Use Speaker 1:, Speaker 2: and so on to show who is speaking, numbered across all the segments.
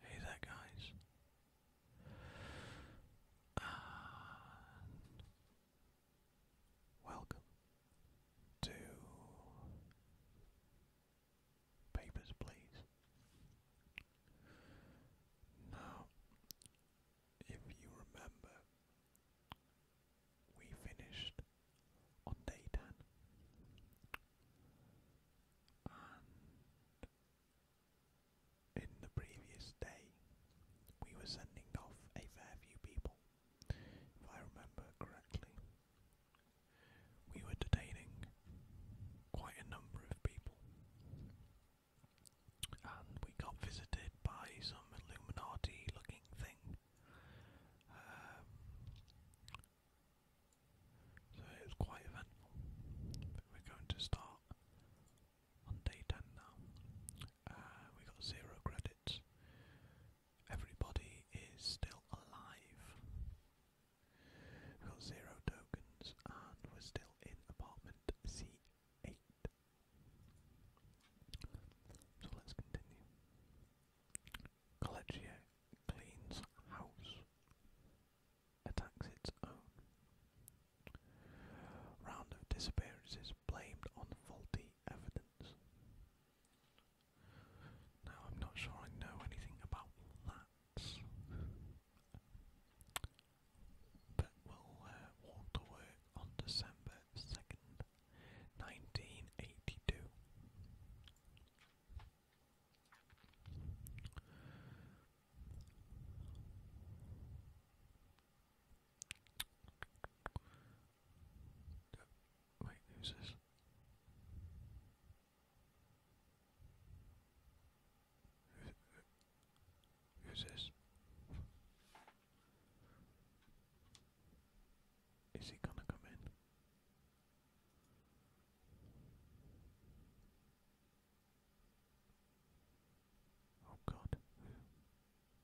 Speaker 1: Hey there, guys, welcome to Papers, Please. Now, if you remember, we finished on day 10. And in the previous day, we were sending off a fair few people, if I remember correctly. We were detaining quite a number of people and we got visited by some Illuminati looking thing. Um, so it quite eventful. we're going to start on day 10 now. Uh, we got zero credits. Everybody is still alive. We've got zero tokens and we're still in apartment C eight. So let's continue. Collegia cleans house, attacks its own. Round of disappearances blamed on faulty evidence. Now I'm not sure I know anything about that that will uh, walk to work on December 2nd, 1982. Wait, who's this? Who's this? Is he gonna come in? Oh God!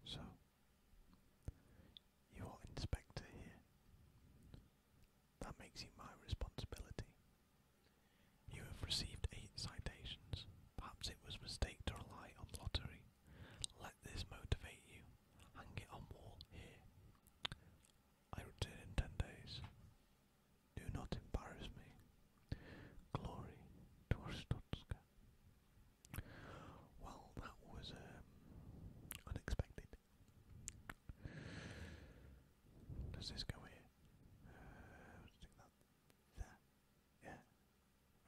Speaker 1: So you are inspector here. That makes you my responsibility. You have received eight citations. Perhaps it was mistake to rely on lottery. Let this motivate you. Hang it on wall here. I return in ten days. Do not embarrass me. Glory to Ostotska. Well, that was um, unexpected. Does this go here? Uh, that yeah.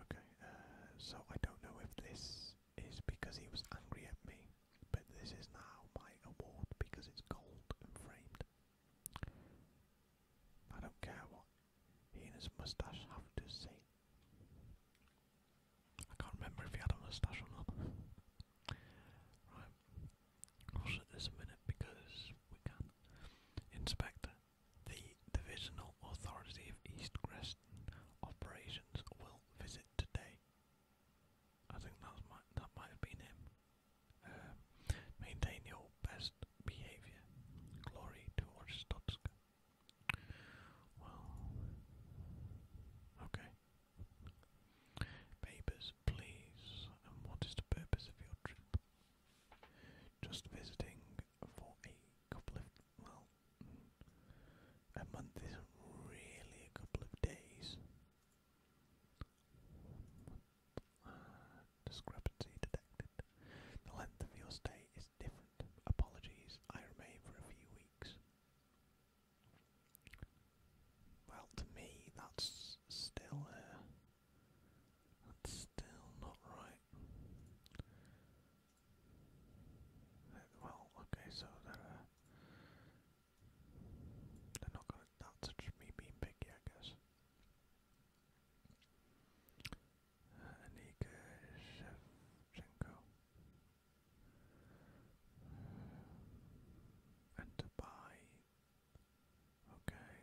Speaker 1: Okay. Uh, so I don't know if this is because he was angry at me, but this is now my award because it's gold and framed. I don't care what he and his moustache have to say. I can't remember if he had a moustache or not. right. I'll shut this a minute because we can. Inspector. The Divisional Authority of East Greston Operations will visit today. I think that, my, that might have been him. Uh, maintain your best behaviour. Glory to Orstotsk. Well, okay. Papers, please. And what is the purpose of your trip? Just visiting for a couple of well, a month isn't really a couple of days. discrepancy detected. The length of your stay is different. Apologies, I remain for a few weeks. Well, to me, that's still that's still not right. Well, okay, so they're uh, they're not gonna. That's me being I guess. Uh, And to Okay,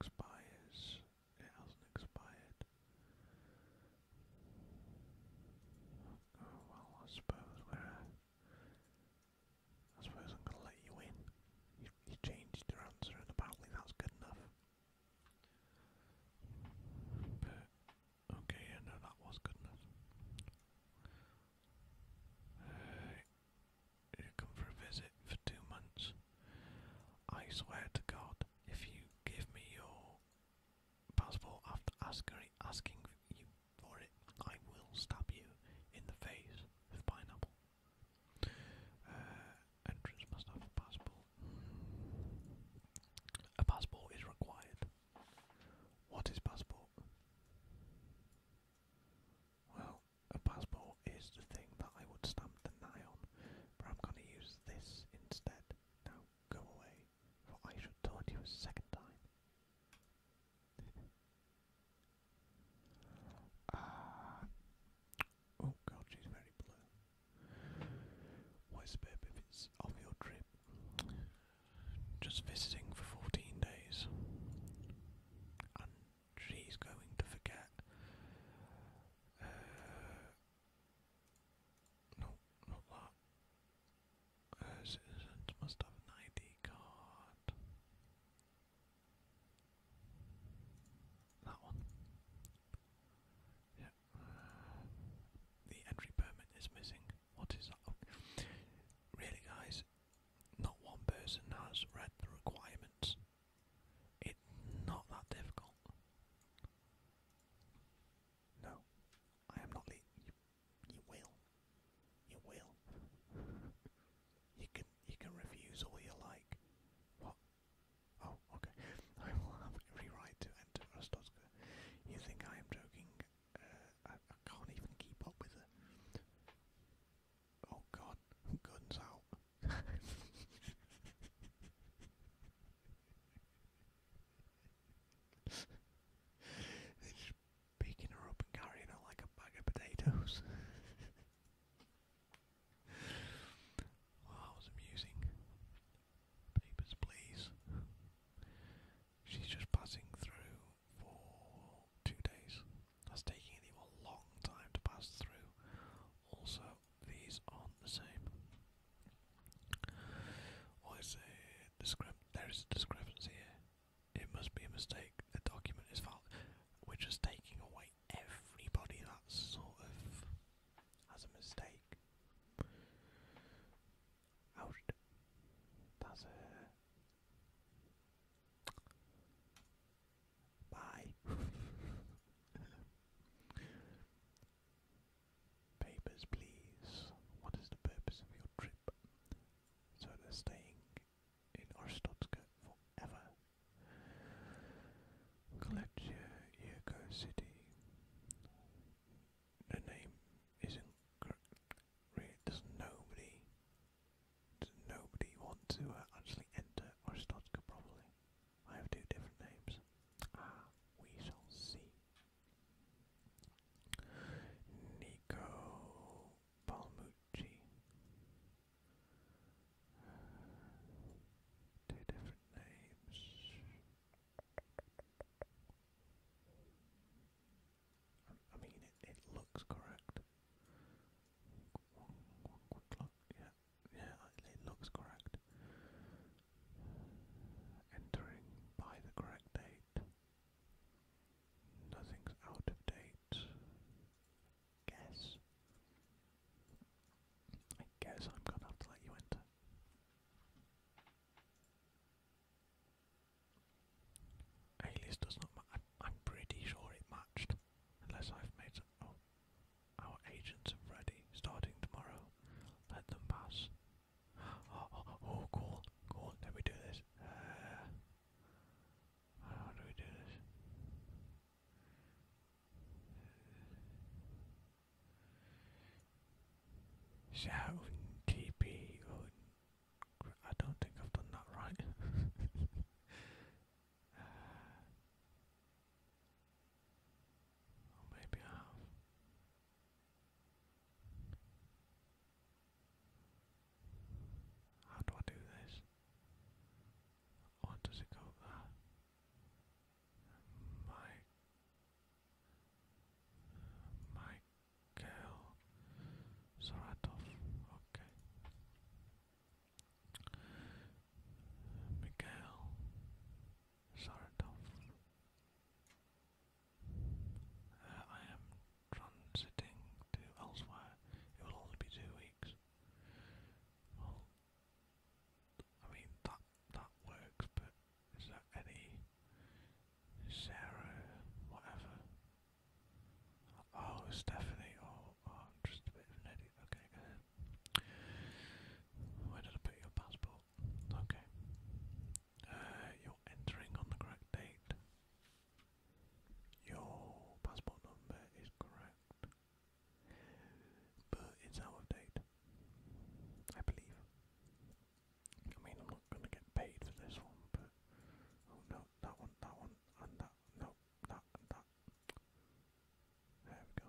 Speaker 1: expires. It hasn't expired. Oh well, I suppose we're. Uh, I suppose I'm gonna let you in. You, you changed your answer, and apparently that's good enough. But okay, I yeah, know that was good enough. Uh, you come for a visit for two months. I swear to God, if you give me your passport after asking, asking you for it, I will stab you in the face with pineapple. Uh, entrance must have a passport. A passport is required. What is passport? Well, a passport is the thing that I would stamp the nine on, but I'm going to use this instead. Now go away, for I should taunt you a second time. uh, oh god, she's very blue. Whisper if it's of your trip. Just visiting for 14 days. And she's going to forget uh, no, not that. citizens must have an ID card. That one. Yeah. the entry permit is missing. What is that? Really, guys, not one person has read the requirements. It's not that difficult. No, I am not You, you will. You will. You can you can refuse all you like. What? Oh, okay. I will have every right to enter Rostocka. You think I am joking? Uh, I, can't even keep up with it. Oh God, Guns out picking her up and carrying her like a bag of potatoes. well, that was amusing. Papers, please. She's just passing through for two days. That's taking you a long time to pass through. Also, these aren't the same. Well, is there is a discrepancy here. It must be a mistake. The document is valid. We're just taking away everybody that sort of has a mistake. Ouch. That's a... Bye. Papers, please. What is the purpose of your trip? So they're staying in Orstotska forever. Kolechia Yurko City. The name isn't really. Does nobody? Does nobody want to uh, actually enter Orstotska properly? I have two different names. Ah, we shall see. Nico Palmucci. Two different names. I mean, it, looks correct. yeah yeah, it looks correct. Entering by the correct date. Nothing's out of date. Guess. I guess I'm gonna have to let you enter. Alias does not match. I'm pretty sure it matched. Unless I've made. Oh. Our agents are ready, starting tomorrow. Let them pass. Oh, oh, oh cool, cool. Let do this. Uh, how do we do this? Sound TP. I don't think I've done that right. Uh, or oh, maybe I have. How do I do this? Or oh, does it go there? My my girl okay. Miguel sort uh, I am transiting to elsewhere. It will only be two weeks. Well, I mean that that works, but is there any Sarah, whatever? Oh, Stephanie. Oh, oh just a bit of an idiot. Okay, where did I put your passport? Okay. Uh, you're entering on the correct date. Your passport number is correct. But it's out of date. I believe. I mean, I'm not gonna get paid for this one, but oh, no, that one, that one, and that, no, that, that. There we go.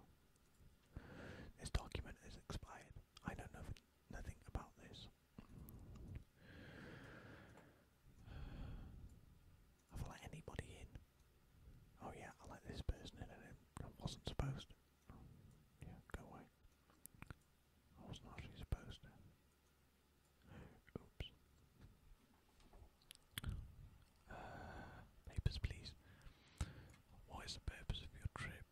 Speaker 1: This document is expired. I know nothing, nothing about this. Have I let anybody in? Oh yeah, I let this person in and I wasn't supposed to. yeah, go away. I wasn't supposed to. Oops. Uh, papers, please. What is the purpose of your trip?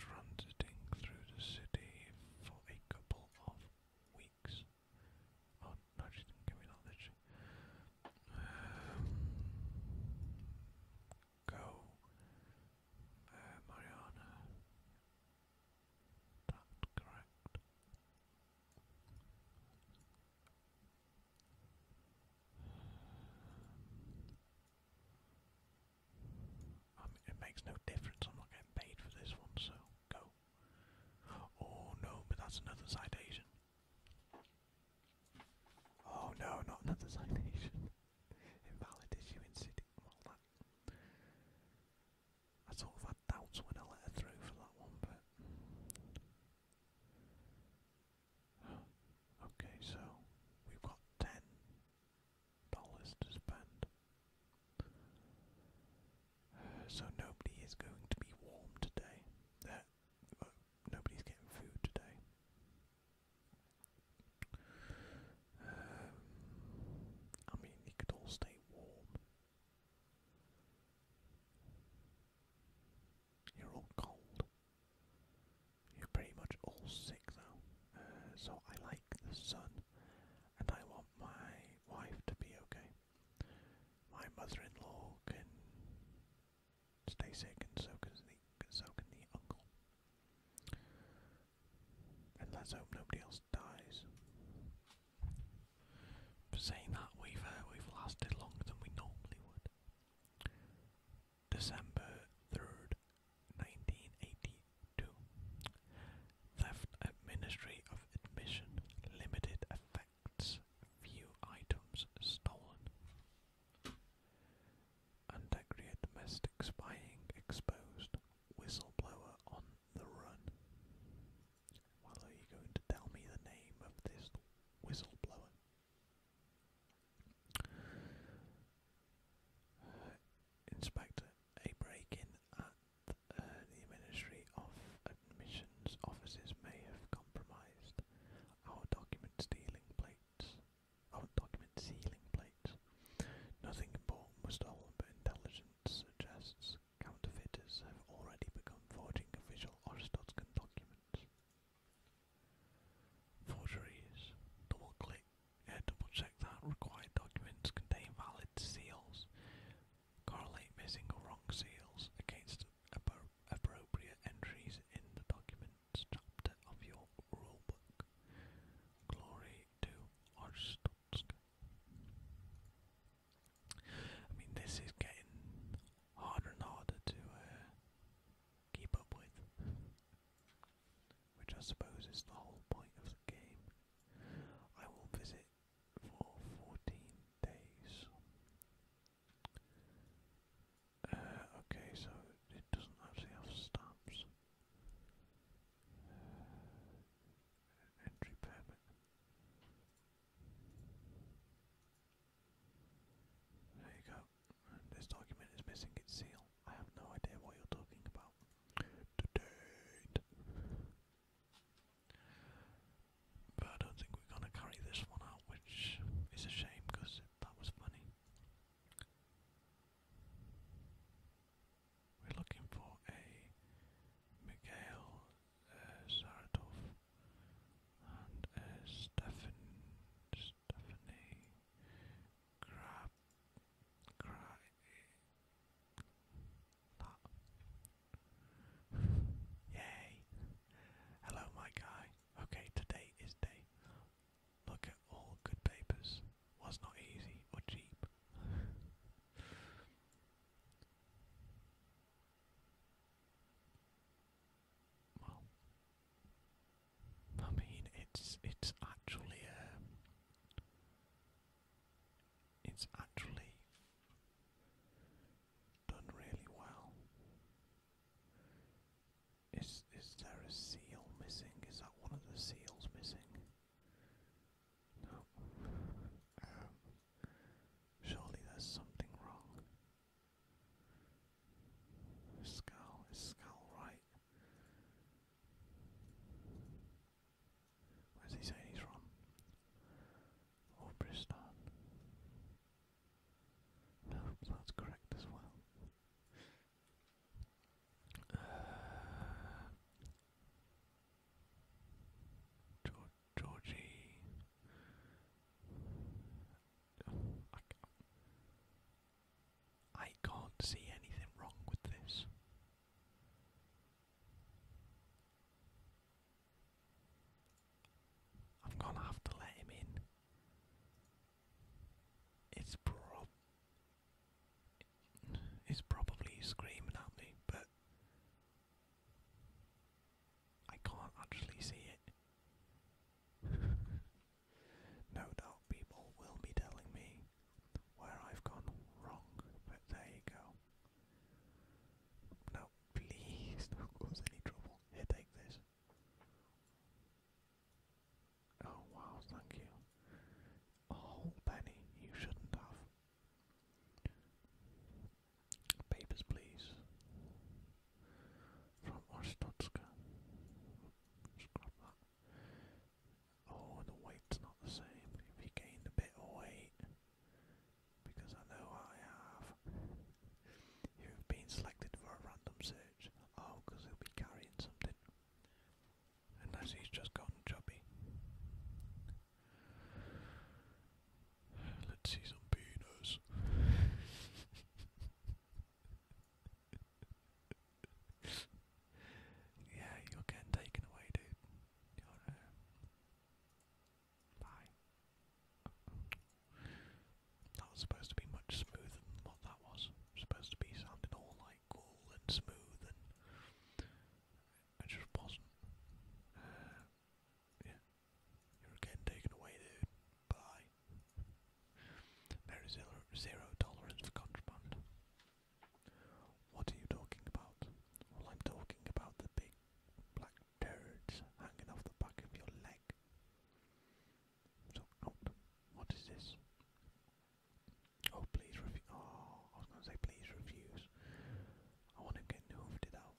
Speaker 1: Transiting through the city for a couple of weeks. Oh, no, give me that, go, uh, Mariana. That's correct. I um, it makes no difference. I'm not getting paid for this one, so go. Oh no, but that's another citation. Oh no, not another citation. Invalid issue in city. I sort of had doubts when I let her through for that one, but Okay, so we've got ten dollars to spend. so nobody is going to be warm today. nobody's getting food today. I mean, you could all stay warm. You're all cold. You're pretty much all sick now, uh, so I like the sun and I want my wife to be okay. My mother-in-law can stay sick and so can the, so can the uncle. And let's hope nobody else dies. saying that, we've uh, we've lasted longer than we normally would. December 3rd, 1982. Left at Ministry of Admission, limited effects, few items stolen. Underground domestic spying exposed, whistleblower on the run. Well, are you going to tell me the name of this whistleblower? Inspector, a break-in at uh, the Ministry of Admissions offices may have compromised our document stealing plates. Our document sealing plates. Nothing important was stolen, but intelligence suggests counterfeiters have already begun forging official or Stotskin documents. Forgeries. Double click, double check that required documents contain valid seals. Correlate missing or wrong seals against appropriate entries in the documents chapter of your rulebook. Glory to Orstutsk. I mean, this is getting harder and harder to uh, keep up with which I suppose is the whole point of the game. I will visit for 14 days. Uh, okay, so it doesn't actually have stamps. Uh, entry permit. There you go. This document is missing its seal. I have no idea what you're talking about. But I don't think we're gonna carry this one out, which is a shame because that was funny. We're looking for a Mikhail uh, and a Stefan. Stephanie Crab Cry Yay Hello my guy. Okay, today is day. Look at all good papers. Was not easy or cheap. well I mean, it's it's actually um, it's actually done really well. Is is there a seal missing? Is that one of the seals missing? No. Um, surely there's something wrong. Skull is skull right. Where's he saying he's from? Or oh, No, that's correct as well. Uh, George, Georgie. Oh, I can't see anything wrong with this. I'm gonna have to let him in. It's prob it's probably screaming at me, but I can't actually see it. No doubt people will be telling me where I've gone wrong, but there you go. Now, please do cause any trouble. Here, take this. Oh, wow, thank you. A oh, whole penny you shouldn't have. Papers, please. From Ostotska. Oh, the weight's not the same. If gained a bit of weight, because I know I have, you have been selected for a random search. Oh, because he'll be carrying something. Unless he's just gone chubby. Let's see some peanuts. yeah, you're getting taken away, dude. bye. Uh, that was supposed to be much smoother than what that was. Supposed to be sounding all like cool and smooth, and it just wasn't. Uh, yeah, you're getting taken away, dude. Bye. There is is zero tolerance for contraband. What are you talking about? I'm talking about the big black turds hanging off the back of your leg. So, oh, What is this? Oh, please refuse. Oh, I was going to say please refuse. I want to get hoofed it out.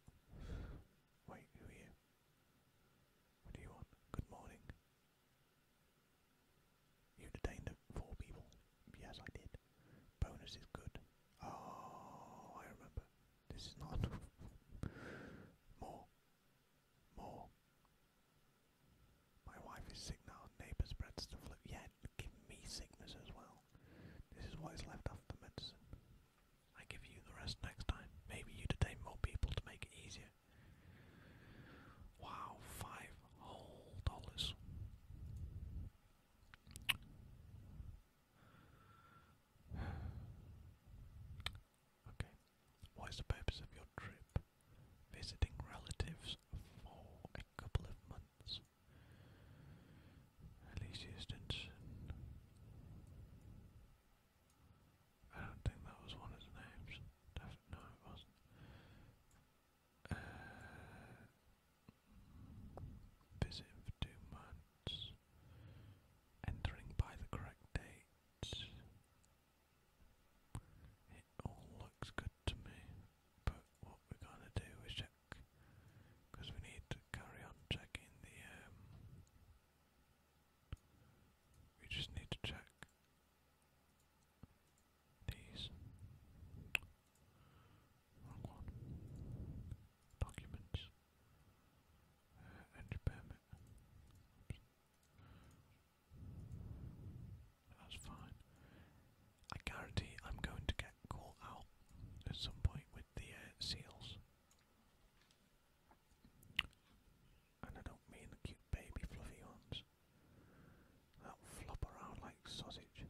Speaker 1: Wait, who What do you want? Good morning. You detained four people. Yes, I did. Bonus is good. Oh, I remember. This is not More. More. My wife is sick now. Neighbour spreads the flu. Yeah, give me sickness as well. This is what is left off the medicine. I give you the rest next time. Maybe you detain more people to make it easier. Wow, five whole dollars. okay. What is the purpose of your trip? Visiting relatives for a couple of months. Alicia Stinson. I don't think that was one of the names. Definitely, wasn't. Uh, visit for two months. Entering by the correct date. It all looks good to me, but what we're gonna do is check, because we need to carry on checking the. Um, we just need to check these. Wrong one. Documents. entry uh, permit. That's fine. I guarantee I'm going to get caught out at some point with the uh, seals. And I don't mean the cute baby fluffy ones that flop around like sausage.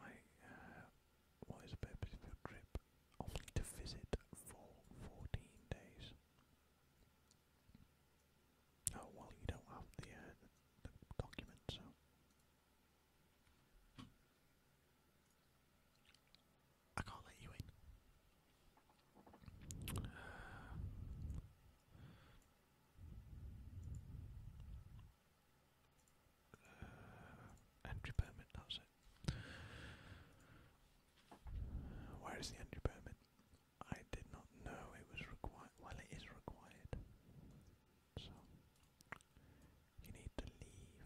Speaker 1: I, uh, what is a purpose of your trip? Only to visit for 14 days. Oh, well, you don't have the, uh, the document, so. I can't let you in. Uh, entry permit, that's Where is the entry permit? I did not know it was required. Well, it is required. So, you need to leave the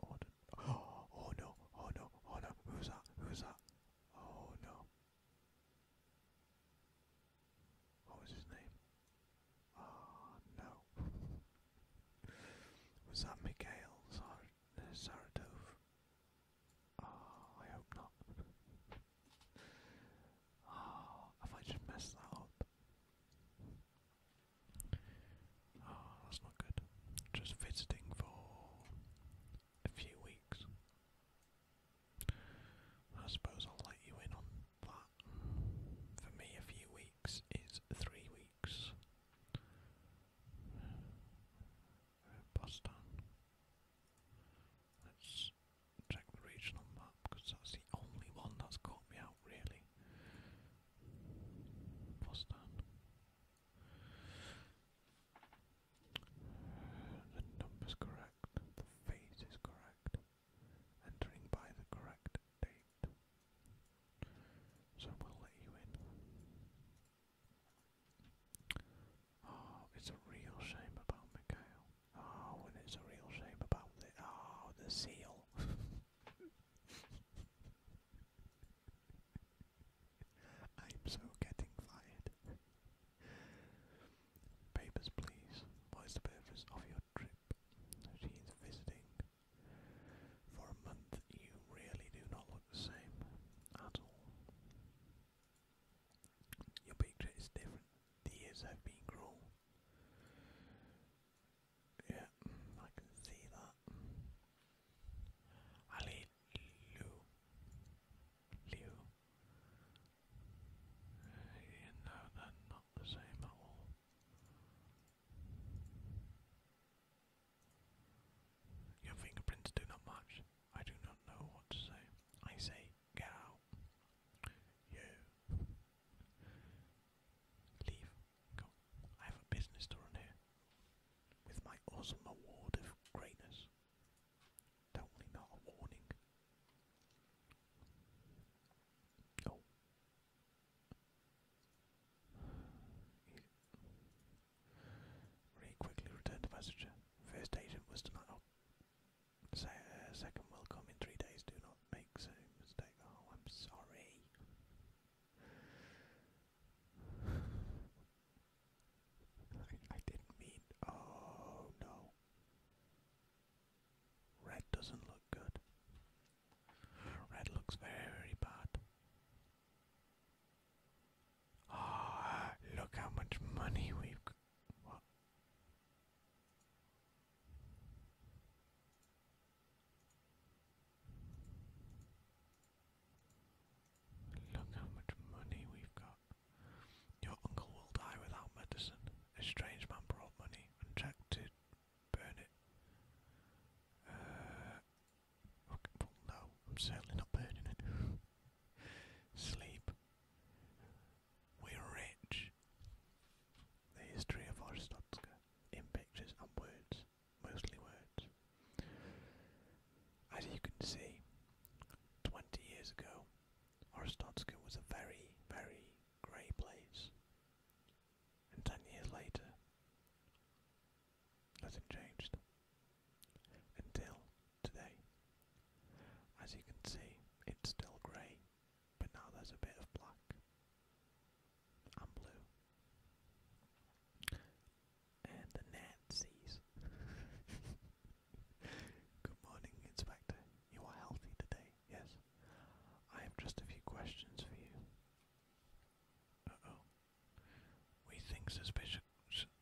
Speaker 1: order. oh no, oh no, oh no, who's that? Who's that? Oh no. What was his name? Oh no. was that Mikhail Sar Saratov? Oh, I hope not. oh, have I just messed that up? Oh, that's not good. Just visiting for a few weeks. I suppose I'll let you in on that. For me, a few weeks is three weeks. Boston. Let's check the regional map because that's the only one that's caught me out, really. Boston. The number's correct, the phase is correct, entering by the correct date. So we'll let you in. Oh, it's a real shame about Mikhail. Oh, ah, and it's a real shame about the oh the seal. I'm so getting fired. Papers, please. What is the purpose of your trip? She visiting. For a month, you really do not look the same at all. Your picture is different. The years have been cruel. Yeah, I can see that. Ali Liu, Liu. You know they not the same at all. Your fingerprints do not match. I do not know what to say. I say, get out. You. Leave. Go. I have a business to run here. With my awesome award of greatness, Definitely not a warning. Oh. Really quickly returned the messenger. First agent was tonight. Oh. Uh, second will come in three days. Do not make same mistake. Oh, I'm sorry. I, didn't mean. Oh no. Red doesn't look good. Red looks very bad. Ah, look how much money we've Look how much money we've got. Your uncle will die without medicine. A strange man brought money and checked to burn it. Uh, okay, well, no, I'm certainly not burning it. Sleep. We're rich. The history of Orstotska in pictures and words, mostly words. As you can see, 20 years ago, Orestotska was a very, very grey place. And 10 years later, nothing changed until today. As you can see, it's still grey, but now there's a bit of black and blue and the Nazis. Good morning, Inspector. You are healthy today, yes? I have just a few questions for you. Uh-oh. We think suspicious,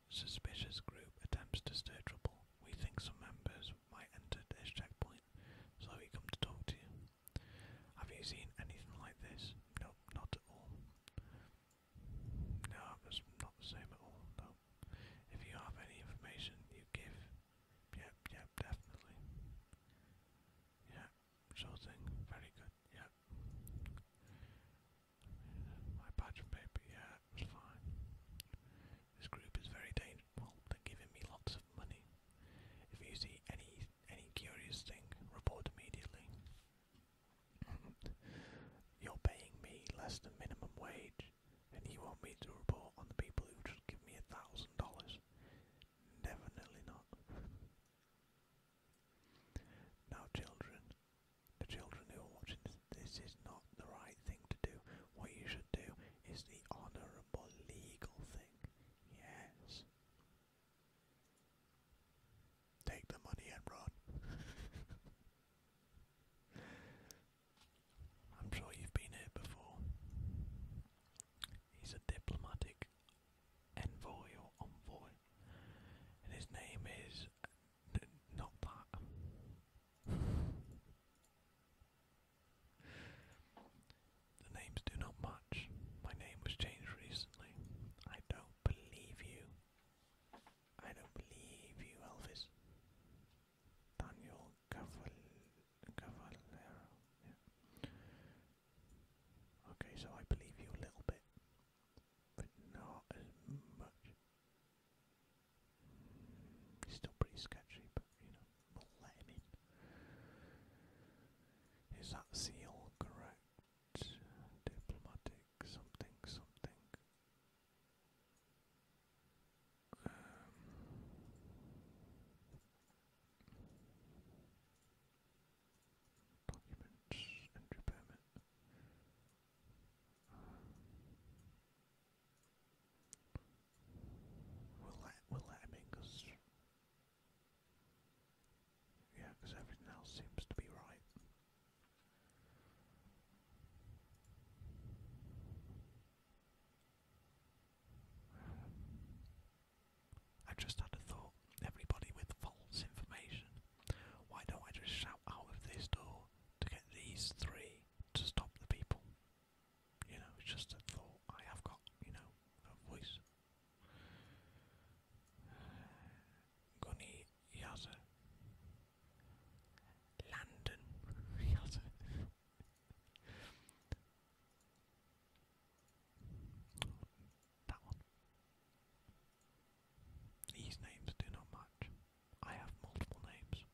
Speaker 1: suspicious group attempts to stir trouble. We think some members might enter this checkpoint, so we come to talk to you. Have you seen anything like this? No, not at all. No, it's not the same at all, no. If you have any information you give, yep, yep, definitely. Yep, sure thing, very good, yep. My patch of paper, yeah, it was fine. This group is very dangerous. Well, they're giving me lots of money. If you see any any curious thing, report immediately. You're paying me less than minimum wage, and you want me to report on the people who just give me a thousand dollars? Definitely not. Now, children, the children who are watching this, this is not the right thing to do. What you should do is the honourable legal thing. Yes. Take the money and run. I'm sure you've been here before. He's a diplomatic envoy or envoy, and his name is not that. the names do not match. My name was changed recently. I don't believe you. I don't believe you, Elvis. Daniel Cavallero. Yeah. Okay, so I believe you a little bit, but not as much. still pretty sketchy, but you know, we'll let in. Is that seal correct? Diplomatic something something. Um, documents, entry permit. Um, we'll let we'll let him in because yeah, because everything else seems to be right. I just had a thought. Everybody with false information. Why don't I just shout out of this door to get these three to stop the people? You know, just a thought I have got, you know, a voice. Goni Yaza. London. that one. These names do not match. I have multiple names.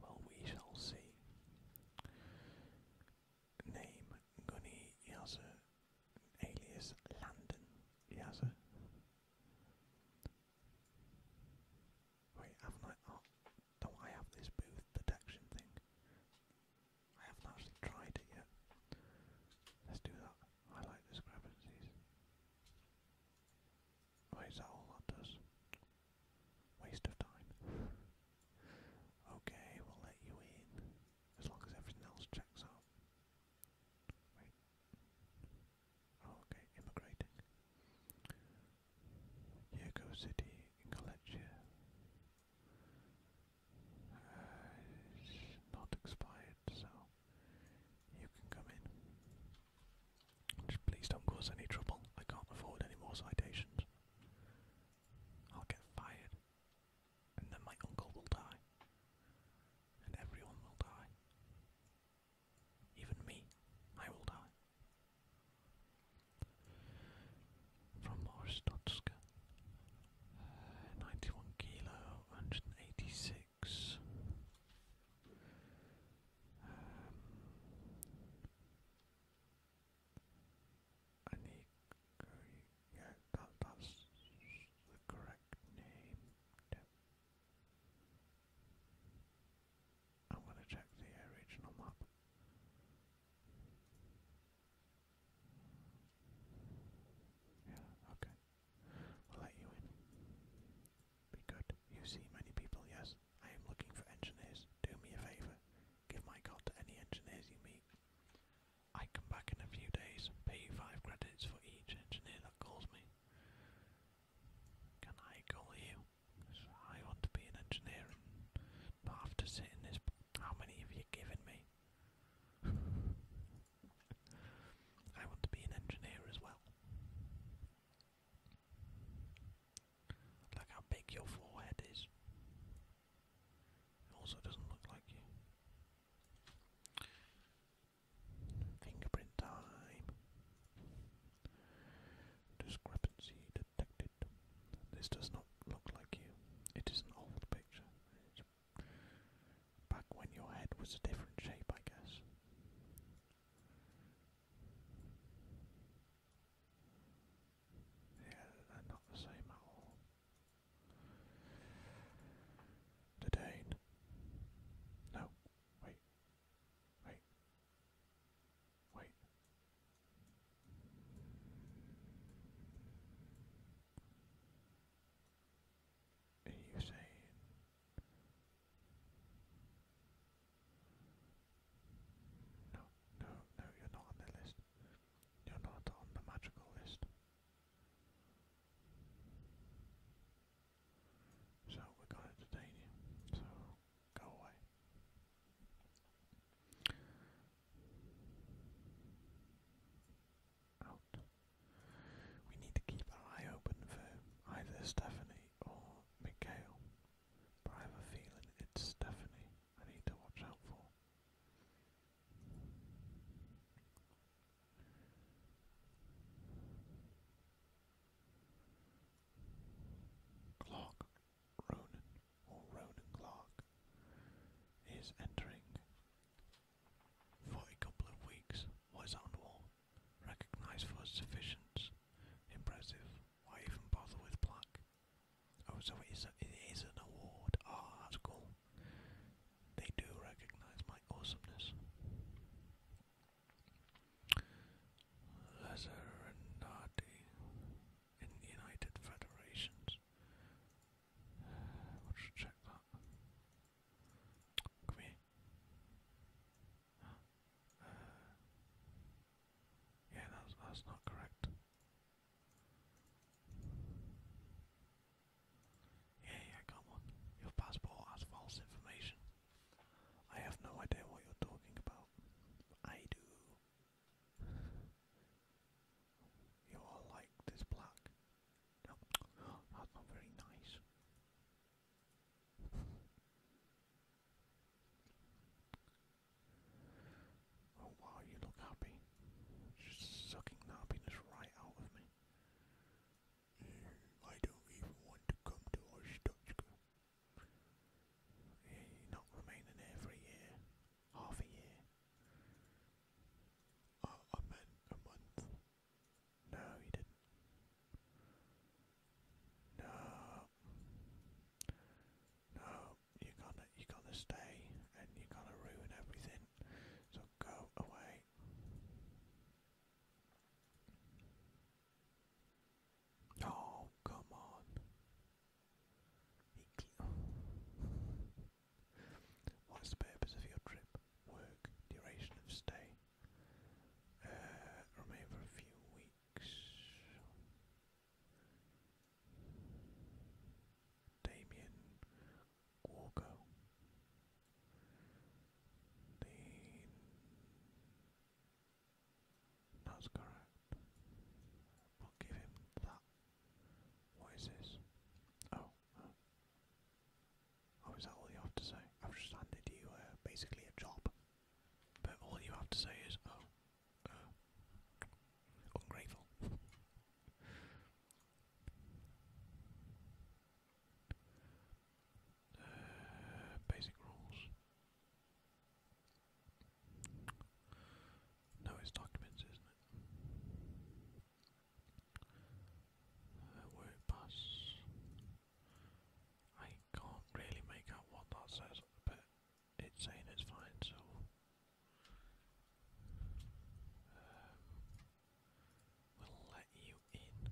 Speaker 1: Well, we shall see. Name Gunny Yaza, alias Landon Yaza. Wait, haven't I? Oh, do I have this booth detection thing? I haven't actually tried it yet. Let's do that. Highlight discrepancies. Wait, is that all that does? Waste of time. okay, we'll let you in. As long as everything else checks out okay, immigrating. Yurko City in Galicia uh, not expired, so you can come in. Just please don't cause any trouble. I can't afford any more citations. I'll get fired, and then my uncle will die, and everyone will die. Even me, I will die. From Orstotska, uh, 91 kilo, 186. Um, I need, yeah, that, that's the correct name. I'm going to check the regional map. Yeah, okay. let you in. Be good. You see many people, yes? I am looking for engineers. Do me a favour. Give my card to any engineers you meet. I come back in a few days, pay you five credits for each engineer that calls me. Can I call you? I want to be an engineer and not have to sit in this. How many have you given me? I want to be an engineer as well. Look how big your forehead is. It also doesn't look like you. Fingerprint time. Discrepancy detected. This does not look like you. It is an old picture. back when your head was a different shape, I guess. Yeah, they're not the same at all. Didane. No, Wait. Wait. Wait. Are you saying? No, no, no, you're not on the list. You're not on the magical list. So we're going to detain you. So go away. Out. We need to keep our eye open for either Stephanie or Mikhail. But I have a feeling it's Stephanie I need to watch out for. Clark Ronan or Ronan Clark is entering for a couple of weeks. What is on the Recognized for sufficient. Impressive. Why even bother with black? Oh, so it is, an award. Ah, that's cool. They do recognize my awesomeness. Lazarenati in the United Federations. We'll check that. Come uh, yeah, that's, that's not correct. Yeah, yeah, come on. Your passport has false information. I have no idea what you're talking about. I do. You all like this black. that's not very nice. Oh wow, you look happy. Just sucking happiness right out of me. I don't even want to come to Ostochka. not remaining there for a year, half a year. a month. No, you didn't. No, no, you're gonna, you're gonna stay, and you're gonna ruin everything. So go away. Oh, come on. what is the purpose of your trip? Work, duration of stay? Uh, remain for a few weeks. Damien Walker. The that's correct. I'll give him that. What is this? Oh. oh, is that all you have to say? I've just handed you uh, basically a job. But all you have to say is, oh, uh, ungrateful. Uh, basic rules. No, it's documents, isn't it? Uh, work pass. I can't really make out what that says, but it's saying it's fine, so. Um, we'll let you in.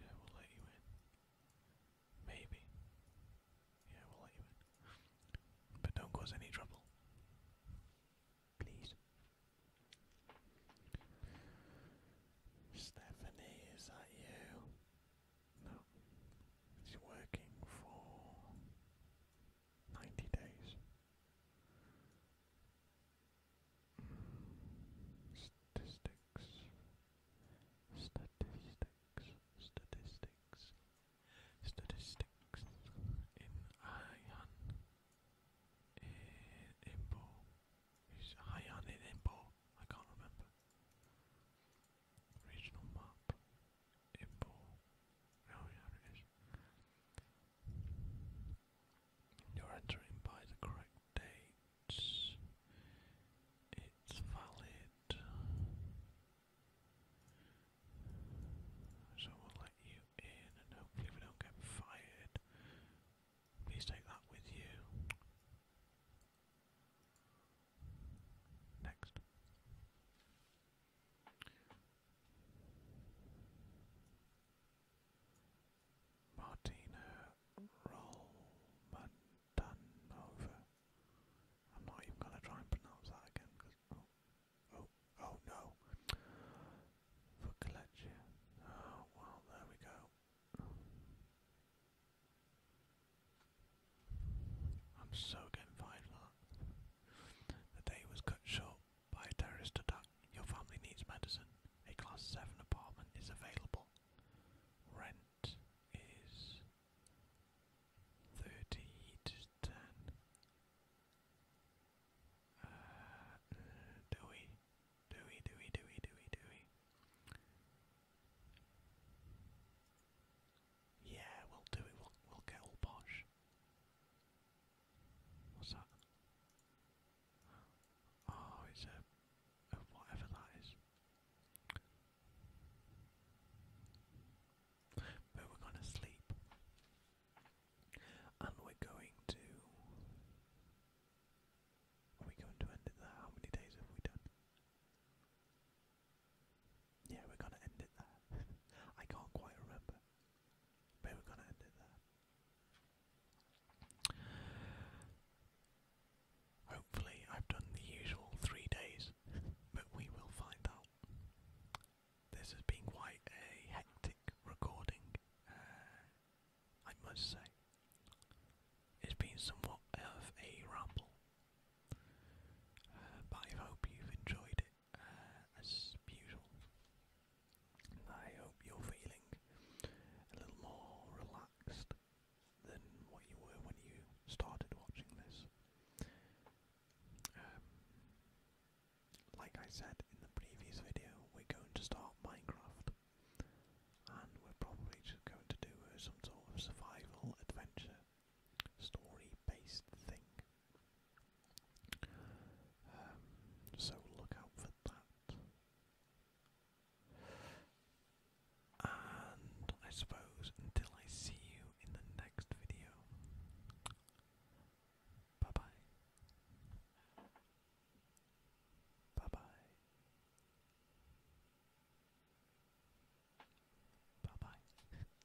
Speaker 1: Yeah, we'll let you in. Maybe. Yeah, we'll let you in. But don't cause any trouble. Please. Stephanie, is that you? No. She's working for 90 days. Statistics. Statistics. Statistics. Statistics. In Haiyan. Eh, in Imbo. Is Haiyan in Imbo? I can't remember. Regional map. Imbo. Oh yeah, it is. You're entering by the correct date. It's valid. So we'll let you in and hopefully we don't get fired. Please take that with you. Next. Martina Rolmandanova. I'm not even going to try and pronounce that again Oh, oh, oh no! Oh, well, there we go. I'm so getting fired for The day was cut short by a terrorist attack your family needs medicine. A class 7 apartment is available. Rent is 30 to 10. Uh, do we? Do we, do we, do we, do we, do we? Yeah, we'll do it. We'll, we'll get all posh. What's that? Oh, it's a, whatever that is. But we're going to sleep. And we're going to. Are we going to end it there? How many days have we done? Yeah, we're going to end it there. I can't quite remember. But we're going to end it there. Hopefully, I've done the usual three days, but we will find out. This has been quite a hectic recording, uh, I must say. It's been somewhat of a ramble, uh, but I hope you've enjoyed it uh, as usual. I hope you're feeling a little more relaxed than what you were when you started watching this. Um, like I said in the previous video, we're going to start Minecraft, and we're probably just going to do some sort of survival adventure story-based thing. Um, so look out for that. And I suppose until I see you in the next video, bye bye. Bye bye. Bye bye.